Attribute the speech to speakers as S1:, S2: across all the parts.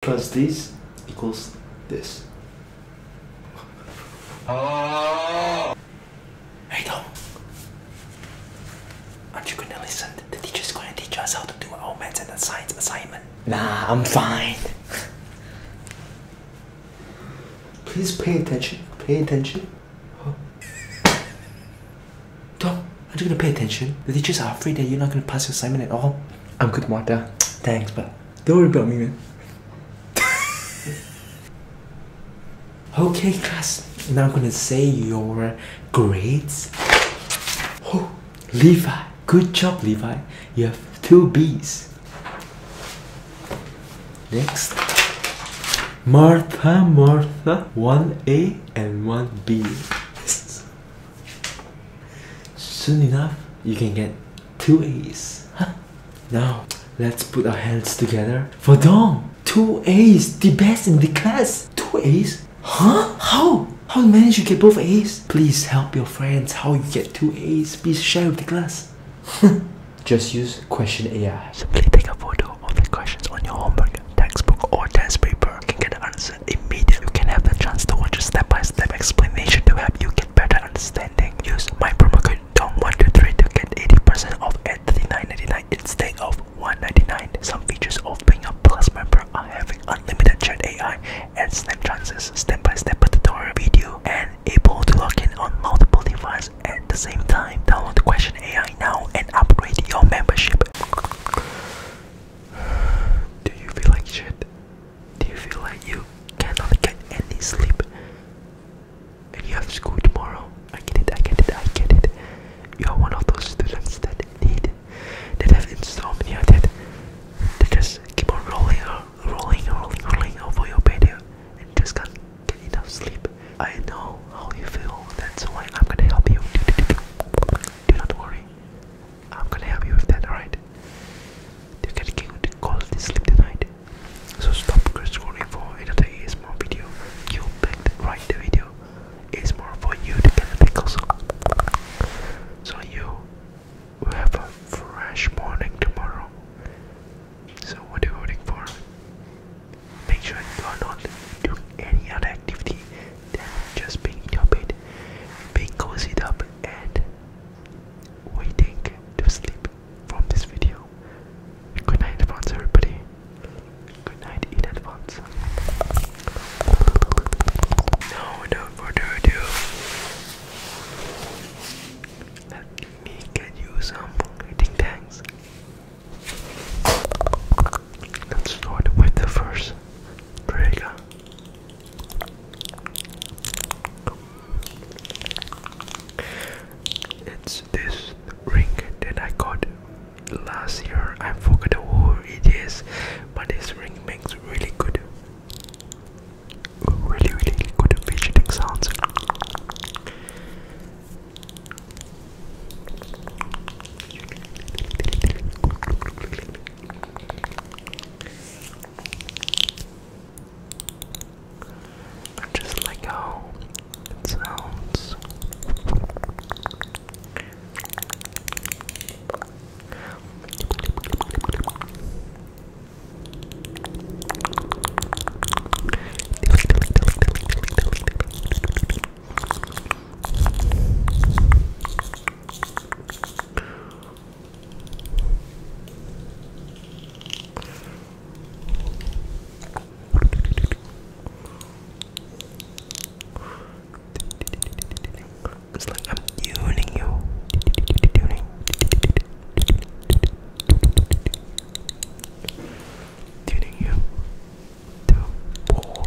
S1: plus this equals this.
S2: Oh. Hey Tom, aren't you gonna listen? The teacher's gonna teach us how to do our maths and science assignment. Nah, I'm fine.
S1: Please pay attention. Pay attention. Huh? Tom, aren't you gonna pay attention? The teachers are afraid that you're not gonna pass your assignment at all. I'm good, Martha. Thanks, but don't worry about me, man. okay, class. Now I'm gonna say your grades. Oh, Levi. Good job, Levi. You have two B's. Next. Martha, Martha. One A and one B. Soon enough, you can get two A's. Now, let's put our heads together for Dong. Two A's, the best in the class. Two A's? Huh? How? How you manage you get both A's? Please help your friends how you get two A's. Please share with the class.
S2: Just use question AI. Simply take a photo of the questions on your homework, textbook, or test paper. You can get the answer is You can have the chance to watch a step-by-step explanation to help you get better understanding. Use my promo code DONG123 to get 80% off at 39.99 instead of 1.99. Some features of being a Plus member are having unlimited chat AI and Snap chances, step-by-step tutorial video, and able to log in on multiple devices at the same time. Download the Question AI now and upgrade your membership. Do you feel like shit? Do you feel like you cannot get any sleep and you have school tomorrow? I get it, I get it, I get it. You are one of those students that need, that have insomnia, that, that just keep on rolling, uh, rolling, rolling, rolling over your bed and just can't get enough sleep. I know how you feel, that's why I'm gonna help you. Do not worry. I'm gonna help you with that, alright? You can get cold to sleep tonight. So stop scrolling for another ASMR video. You picked right the video. It's more for you to get the pickles. So you have a fresh morning tomorrow. So what are you waiting for? Make sure you are not doing any other activity just being in your bed, being cozied up and waiting to sleep from this video. Good night advance everybody. Good night in advance. Now without further ado let me get you some ting tangs. Let's start with the first trigger. It's this ring that I got last year. I forgot who it is, but this ring makes really good, really, really good fidgeting sounds. I am just like how it sounds. It's like I'm tuning you. Tuning. you to all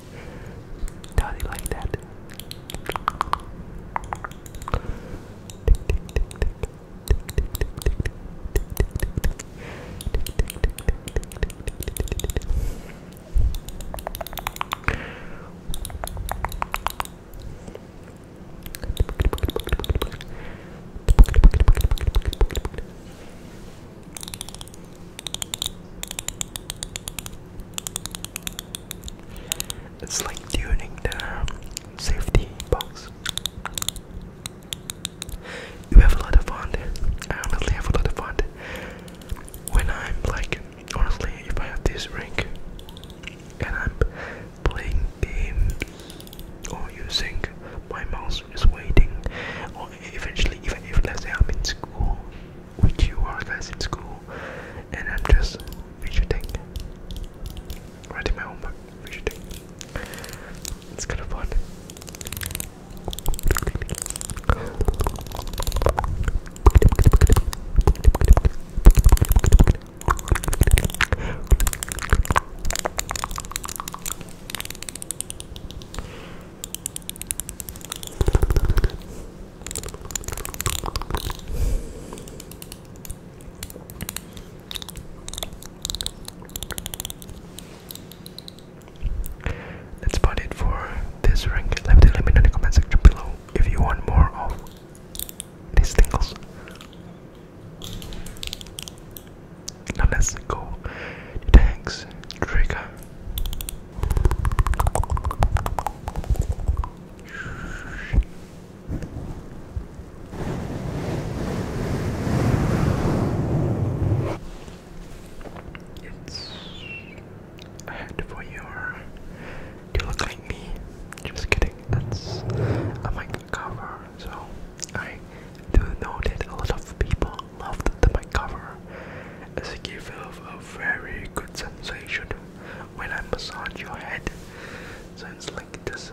S2: Does he like that? It's like tuning the safety box. You have a lot of fun. I honestly have a lot of fun when I'm like, honestly, if I have this ring and I'm playing games or using my mouse is waiting, or eventually, even if let's say I'm in school with you all guys in school, and I'm just fidgeting, writing my homework, fidgeting. It's kind of fun. That's about it for this rank. Let me, let me know in the comment section below if you want more of these tingles. Now let's go to Trigger. It's a for your. You look like me. Just kidding. That's a mic cover. So I do know that a lot of people loved the mic cover as it gives you a very good sensation when I massage your head. Sounds like this.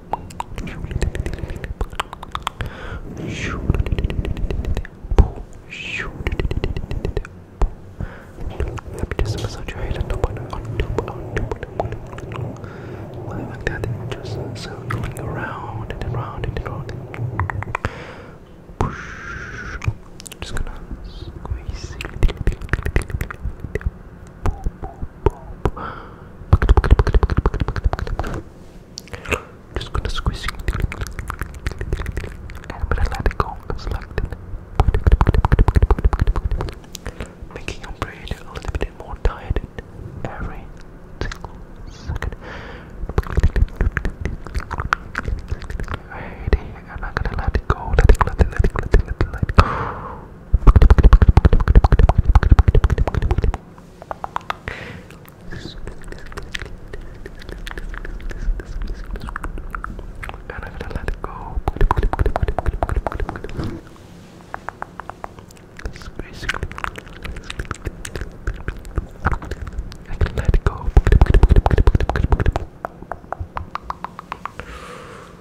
S2: Let me just massage your head on top, on top, on top, on top. Well, like that, and just circling around and around and around. Push. Just gonna squeeze. Just gonna squeeze it. I'm gonna let it go. It's like that. Making your brain a little bit more tired every single I'm gonna let it go. Let it, let let it go. And I'm gonna let it go. It's basically I can let it go.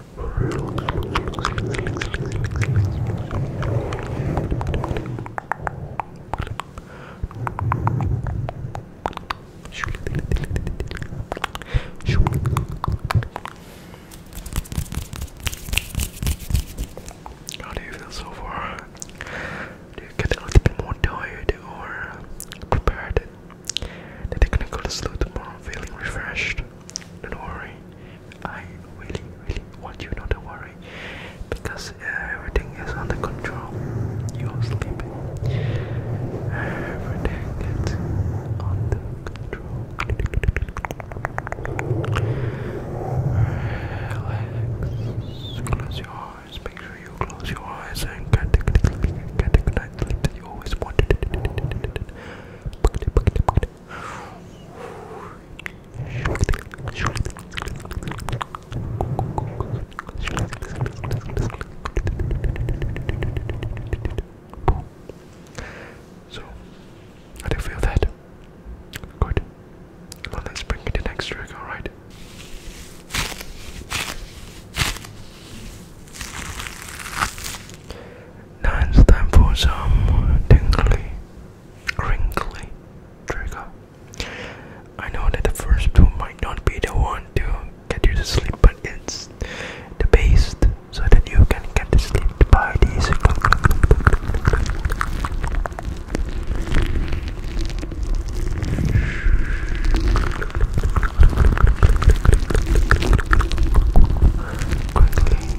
S2: How do you feel so far? Do you get a little bit more tired or prepared? That they gonna go to sleep tomorrow feeling refreshed? Don't worry. I really, really want you not to worry because everything is under control. You are sleeping. Everything is under control. Relax. Close your eyes. Make sure you close your eyes and get the, get the good night sleep that you always wanted. So, I do feel that. Good. Well, let's bring you the next trick, alright? Now it's time for some tingly, crinkly trigger. I know that the first two might not be the one to get you to sleep, but it's the best so that you can get to sleep by these. Quickly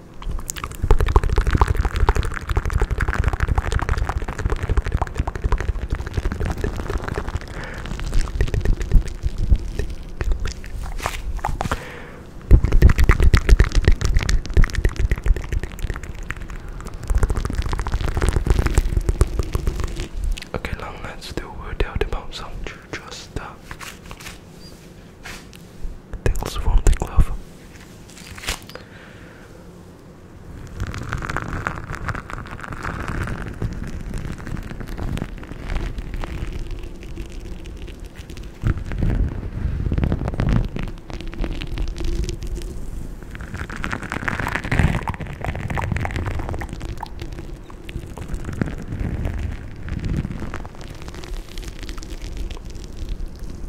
S2: Okay, now let's do without the bounce on just that. Tingles from the glove.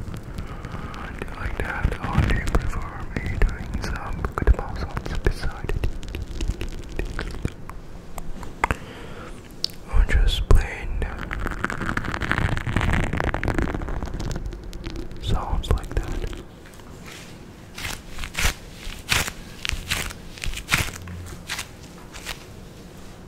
S2: Do you like that, or do you prefer me doing some good mouse sounds beside it? Or just plain sounds like that?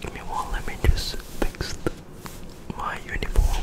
S2: Give let me just fix my uniform.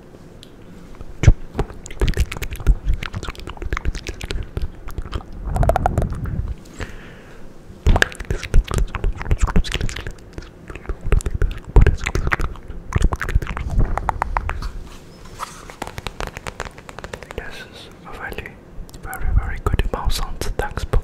S2: This is a very, very, very good mouse on the textbook.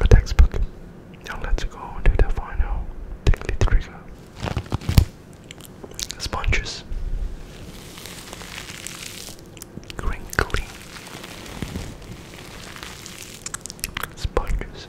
S2: A textbook. Now let's go and do the final tickly trigger. Sponges. Crinkly. Sponges.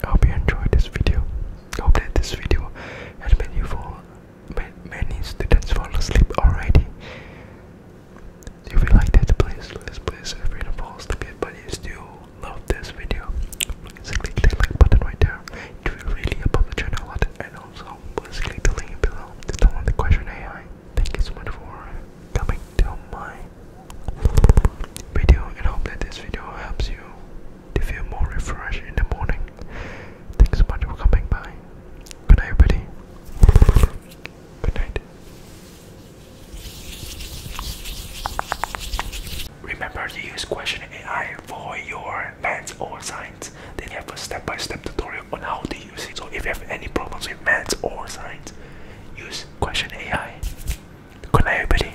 S2: I hope you enjoyed this video hope that this video has made you fall many students fall asleep already. If you like that please please please feel free to fall but you still love this video, please click the like button right there. It will really help the channel a lot and also please click the link below to download the question AI. Thank you so much for coming to my video and hope that this video helps you to feel more refreshed in the morning. Thanks so much for coming by. Good night, everybody. Good night. Remember to use question AI for your math or science. They have a step-by-step tutorial on how to use it. So if you have any problems with math or science, use question AI. Good night, everybody.